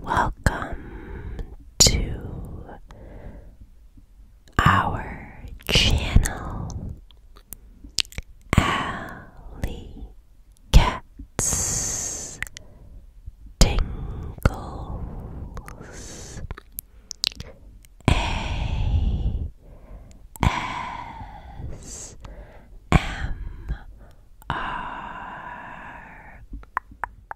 Welcome to our channel, Alley Cats Tingles A S M R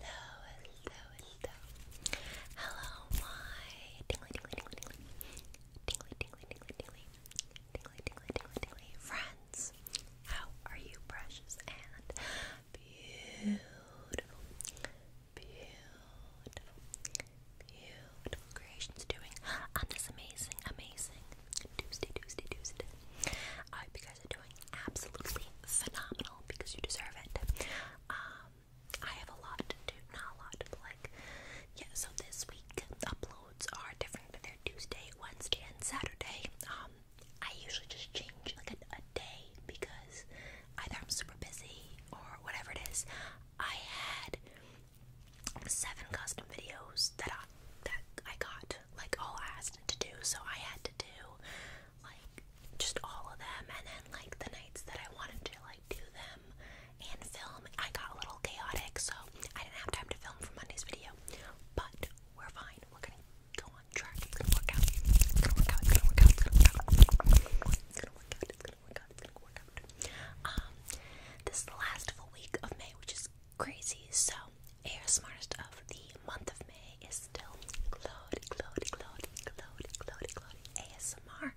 hello, hello. Hello, my tingly, tingly, tingly, tingly, tingly, tingly, tingly, tingly, tingly, tingly, tingly, tingly friends. How are you, precious and beautiful, beautiful, beautiful creations doing on this amazing, amazing Tuesday, Tuesday, Tuesday? I hope you guys are doing absolutely phenomenal because you deserve it. Um, I have a lot to do, not a lot, but like, yeah, so this week uploads are different. They're Tuesday, Wednesday, and Saturday. Um, I usually just change like a, a day because either I'm super busy or whatever it is. I had seven custom videos that I, that I got like all asked to do, so I had to do like just all of them and then like the nights that I wanted to like do them and film I got a little chaotic so I didn't have time to film for Monday's video but we're fine we're gonna go on track it's gonna work out it's gonna work out it's gonna work out it's gonna work out it's gonna work out it's gonna work out um this is the last full week of May which is crazy so smartest of the month of May ASMR.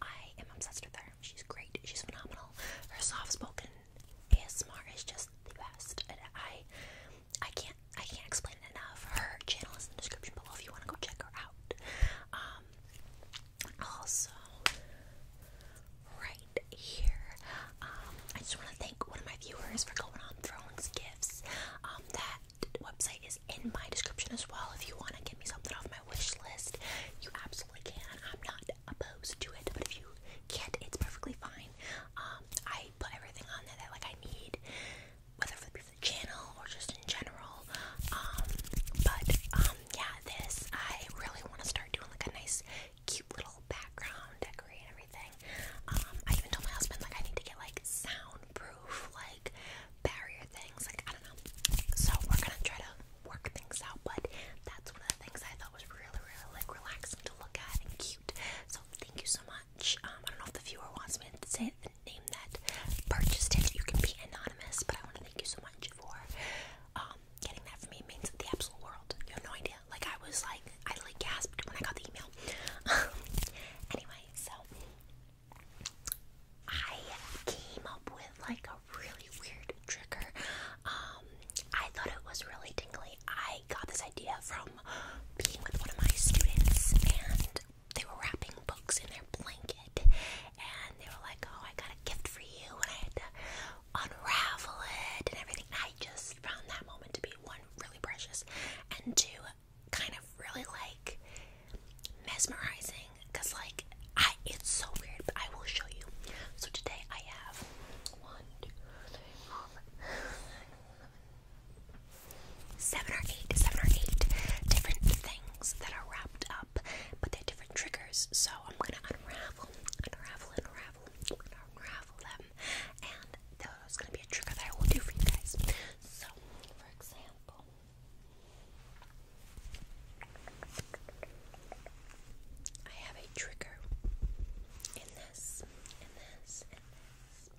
I am obsessed with her. She's great. She's phenomenal. Her soft-spoken ASMR is just the best. I, I can't, I can't explain it enough. Her channel is in the description below if you want to go check her out. Um, also, right here, um, I just want to thank one of my viewers for going on Thrones Gifts. Um, that website is in my description as well. If you want to get me something off my wish list, you absolutely can. I'm not opposed to it, but if you can't, it's perfectly fine. Um, I put everything on there that like I need, whether for the, channel or just in general. Um, but um, yeah, this I really want to start doing like a nice, cute little background decorate and everything. I even told my husband like I need to get like sound proof, like barrier things. Like, I don't know. So, we're gonna try to work things out, but that's one of the things I thought was really, really like relaxing to look at and cute. So, thank you so much. Um, I don't know if the viewer wants me to say the name that purchased it. You can be anonymous, but I want to thank you so much for um, getting that for me. means the absolute world. You have no idea. Like, I was like, I like gasped when I got the email. anyway, so I came up with like a really weird trigger. Um, I thought it was really tingly. I got this idea from being with one of my students, and they were wrapping books in their blanket, and they were like, "Oh, I got a gift for you," and I had to unravel it and everything. I just found that moment to be one really precious, and two kind of really like mesmerizing because like I it's so weird but I will show you. So today I have one, two, three, four, seven or eight, seven or eight different things that are wrapped up, but they're different triggers. So I'm gonna unravel, unravel, unravel, unravel them, and there's gonna be a trigger that I will do for you guys. So, for example, I have a trigger in this, in this, in this,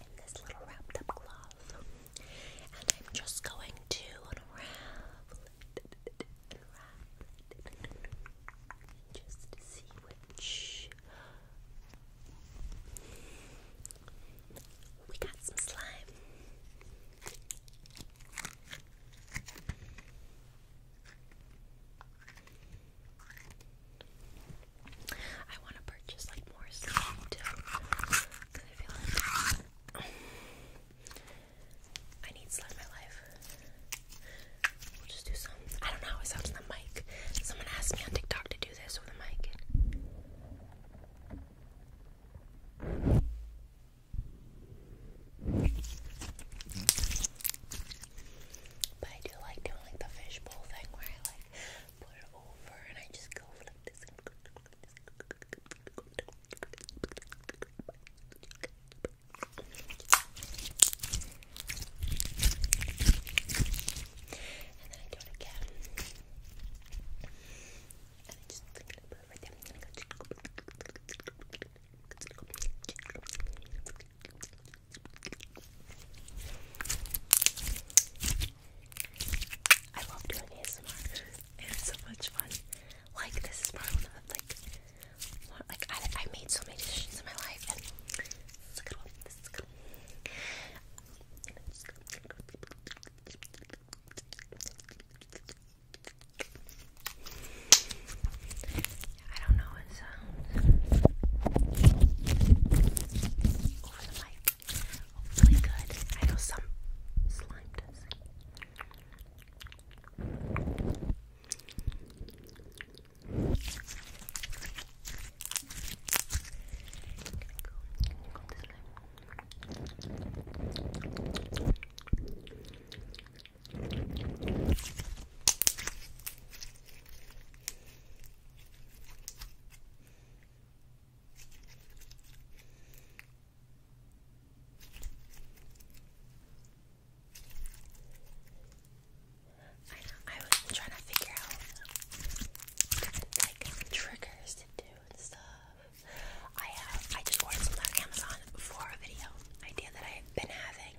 in this little wrapped up cloth, and I'm just going to unravel it, unravel it, and just see which we got some slime. I want to purchase like more slime too. I need slime in my life. We'll just do some. I don't know how it the mic. Someone asked me on TikTok to actually do this with a mic. But I do like doing like the fishbowl thing where I like put it over and I just go like this. And then I do it again i love doing ASMR. It's so much fun. Like this is probably one like, like I, made so many decisions in my life, I don't know it sounds over the mic. Hopefully good. I know some slime does I know, was trying to figure out like triggers to do and stuff. I have uh, I just ordered some on Amazon for a video idea that I've been having.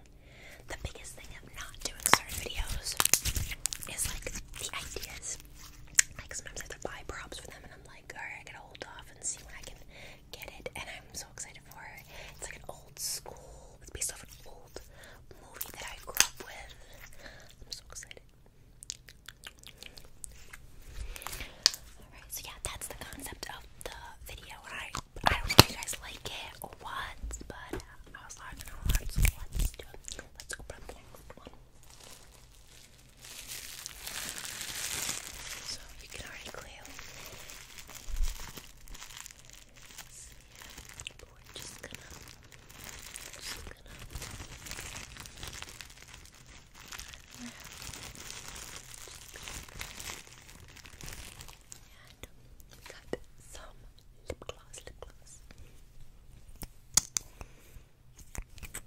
The biggest thing of not doing certain videos is like the ideas. Like sometimes I have to buy props for them and I'm like, alright, I gotta hold off and see when I can get it and I'm so excited for it. It's like an old school it's based off an old movie that I grew up with. I'm so excited so yeah, that's the concept of the video. I I don't know if you guys like it or what, but I was like, let's do it. Let's open the next one. So you can already clearly see but we're just gonna, just gonna and we got some lip gloss, lip gloss. Uh,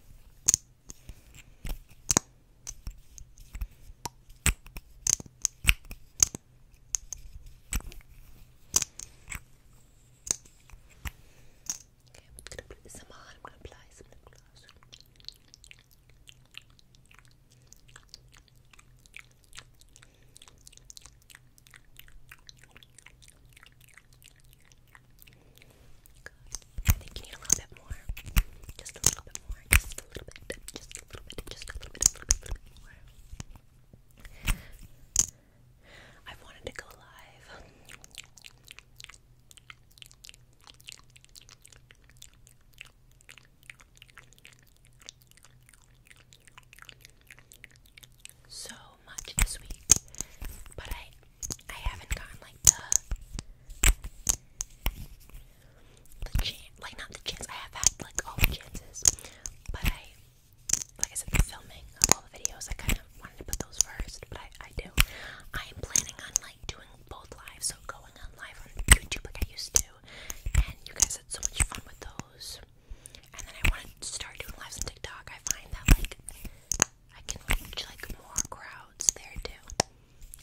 Okay, I'm gonna put this on. I'm gonna apply some lip gloss. Good. I think you need a little bit more. Just a little bit more. Just a little bit. Just a little bit. Just a little bit, a little bit, a little bit more. I've wanted to go live. So much this week, but I I haven't gotten like the the chance, like not the chance. I have had like all the chances, but I like I said, the filming of all the videos, I kind of wanted to put those first, but I, I do. I am planning on like doing both lives, so going on live on YouTube like I used to, and you guys had so much fun with those. And then I want to start doing lives on TikTok. I find that like I can reach like more crowds there too.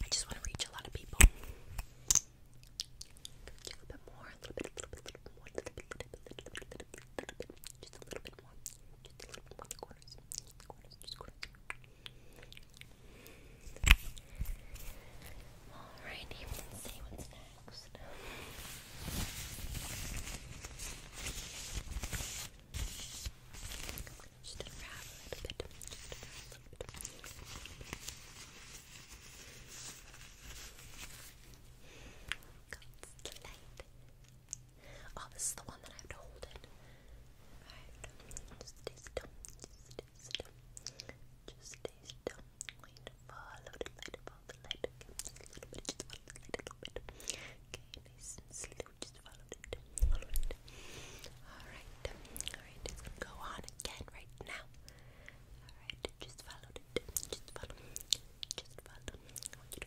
I just want to reach a lot of people. A little bit more, a little bit, a little bit, a little bit a little bit, a little bit, little bit, just a little bit more, just a little bit more, the the corners, just corners. let's see what's next. Just a little bit, just a little bit. Oh, this is the one that I have to hold it. Alright, just stay still. Just stay still. Just stay still. Going follow the light, follow the light. Okay, just a little bit, just follow the little bit. Okay, Just follow it. Follow it. Alright, alright, it's go on again right now. Alright, just follow it. Just follow. Just follow. I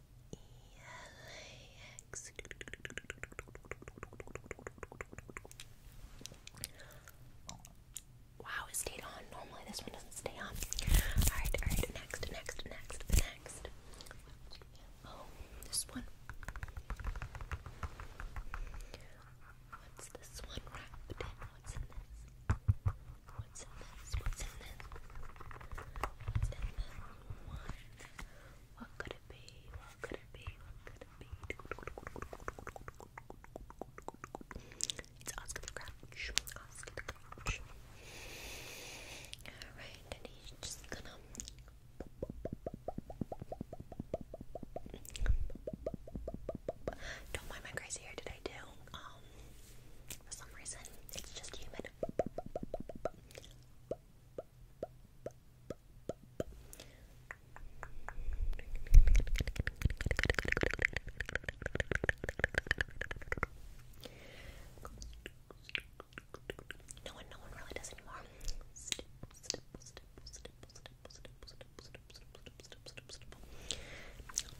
E-L-A-X Wow, it stayed on. Normally this one doesn't stay on. Alright, alright, next, next, next, next. Oh, this one. What's this one wrapped in? What's in this? What's in this? What's in this? What could it be? What could it be? What could it be? It's Oscar the Grouch. Oscar the Grouch. Alright, and he's just gonna. Don't mind my crazy hair today, too. Um, for some reason, it's just humid red. No one, no one really does anymore. Stipple, stipple, stipple, stipple, stipple, stipple, stipple, stipple, stipple, stipple, stipple, stipple.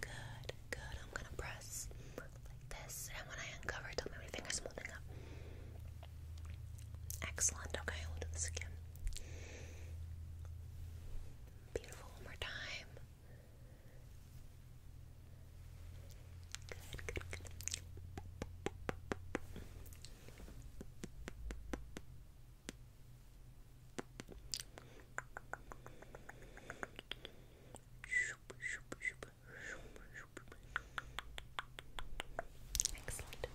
Good, good. I'm gonna press like this, and when I uncover, tell me my fingers holding up. Excellent. Okay, we'll do Beautiful. One more time. good, good. Good, Excellent.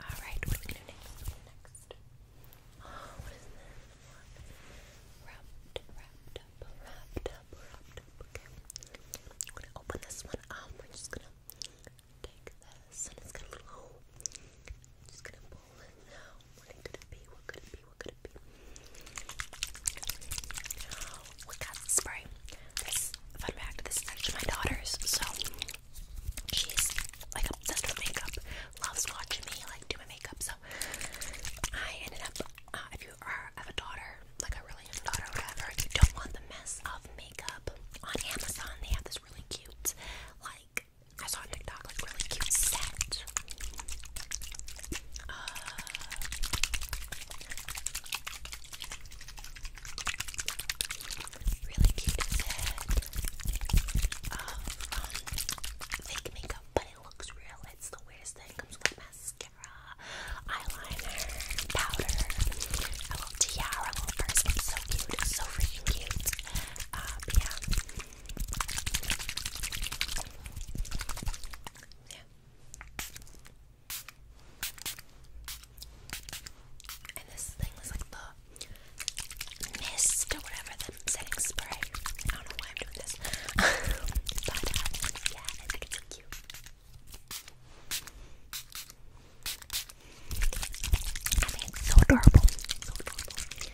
Alright, what are we gonna do next? Oh, what is this? Wrapped, wrapped up, wrapped wrapped Okay. I'm gonna open this one up. We're just gonna take this and it's gonna little just gonna pull it now. What could it be? What could it be? We got spray. fun fact, this is my daughter's, so she's like obsessed with makeup, loves watching me like do my makeup. So I ended up uh, if you are have a daughter, like a really young daughter whatever, you don't want the mess of makeup on Amazon, they have this really cute like I saw a TikTok like really cute set. Uh, really cute set um, fake makeup, but it looks real. It's the weirdest thing. comes with mascara, eyeliner, powder, a little tiara, a little purse. so cute. so freaking cute. Uh, but yeah. Yeah. And this thing was like the mist or whatever, setting spray. I don't know why I'm doing this. Uh, yeah, I think it's cute. I think so adorable. So adorable.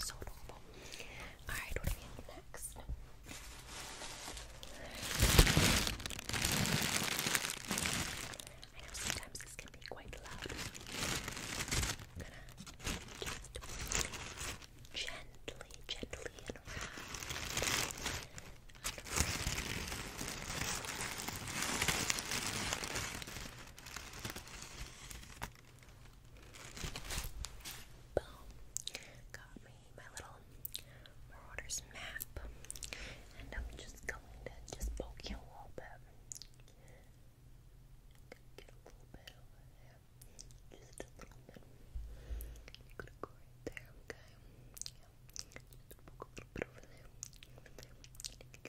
So adorable. Alright, what do we have next? I know sometimes this can be quite loud. I'm gonna just gently, gently Boom. Got me my little Marauders map. And I'm just going to just poke you a little bit. Get a little bit over there. Just a little bit. You're going there, okay? Just poke a little bit over there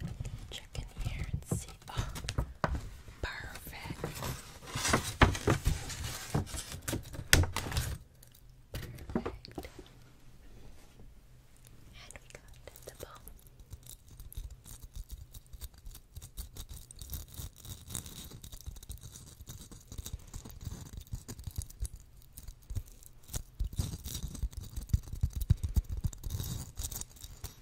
going check in here and see. Oh, perfect. Perfect. And we got the bone.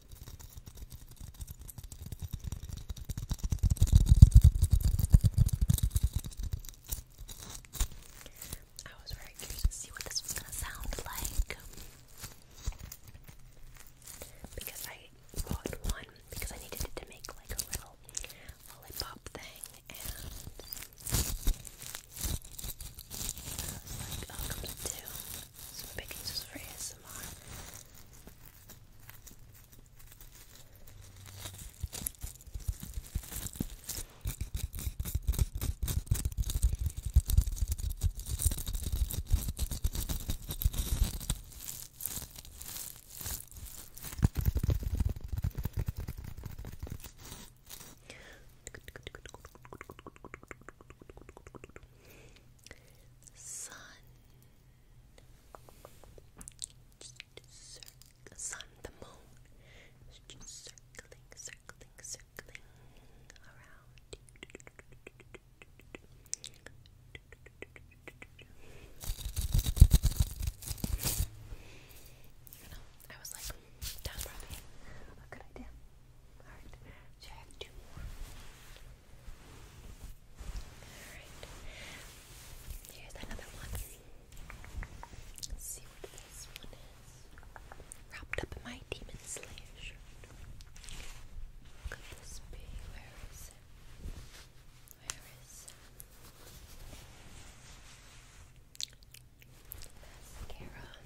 I was very curious to see what this was gonna sound like because I bought one because I needed to make like a little lollipop thing and I was like, oh, two some pictures for ASMR. Sun. Sun, the moon circling, circling, circling around I was like, that's idea. Alright, so I have two more. Alright, here's another one. see what this one is. Wrapped up in my Demon Slayer Could this be? Where is it? Where is it? Mascara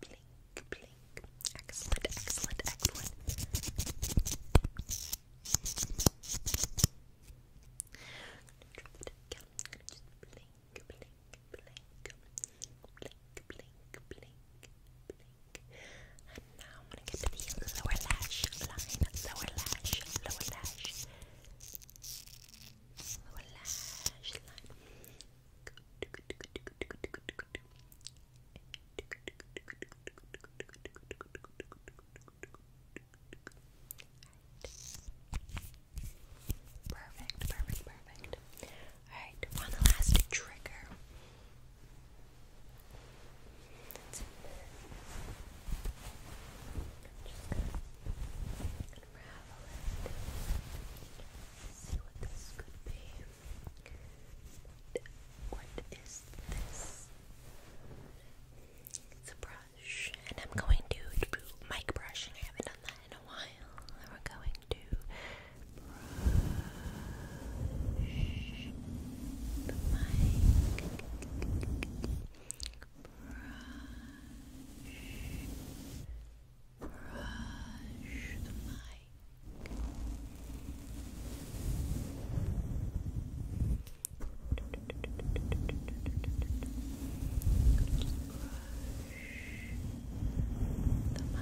blink, blink. Excellent, excellent, excellent. I'm gonna just blink, blink, blink, blink, blink, blink, blink. And now I'm gonna get to the lower lash line, lower lash, lower lash, lower lash line. Good, good, good, good, good, good, good, good. Perfect, perfect, perfect. Alright, one last trigger. What is this? It's a brush, and I'm going to do mic brushing. I haven't done that in a while. And we going to brush the mic. Brush brush the mic. Brush the mic. Brush the mic.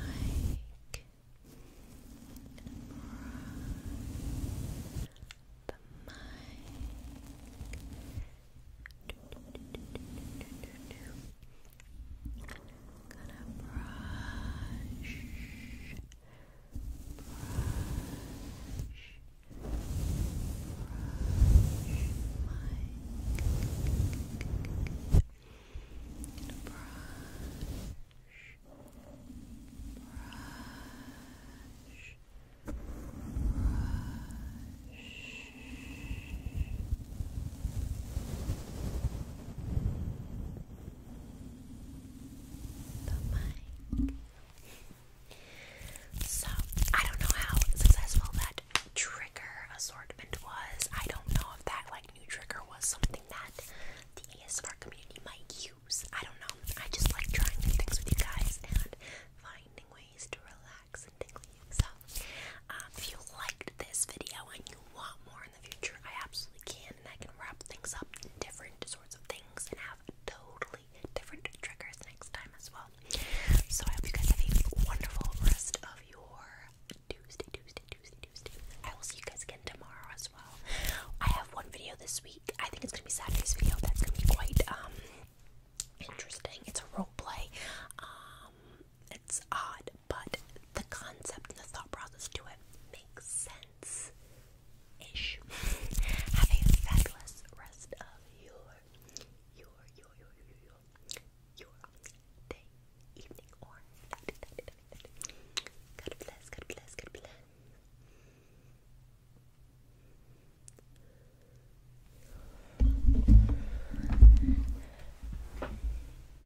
Gonna brush, brush, brush my. Brush, brush, brush. So, I don't know how successful that trigger assortment was. I don't know if that like new trigger was something that the ASMR community might use. I don't know. I just like trying new things with you guys and finding ways to relax and tingle you. So, um, if you liked this video and you want more in the future, I absolutely can, and I can wrap things up in different sorts of things and have totally different triggers next time as well. So I hope you guys have a wonderful rest of your Tuesday, Tuesday, Tuesday, Tuesday. I will see you guys again tomorrow as well. I have one video this week. I think it's gonna be Saturday's video. That's gonna be quite um interesting. It's a role play. Um it's odd, but the concept and the thought process to it makes sense ish. Have a fabulous rest of your, your, your, your, your, your, day, evening, or night. God bless, God bless, God bless.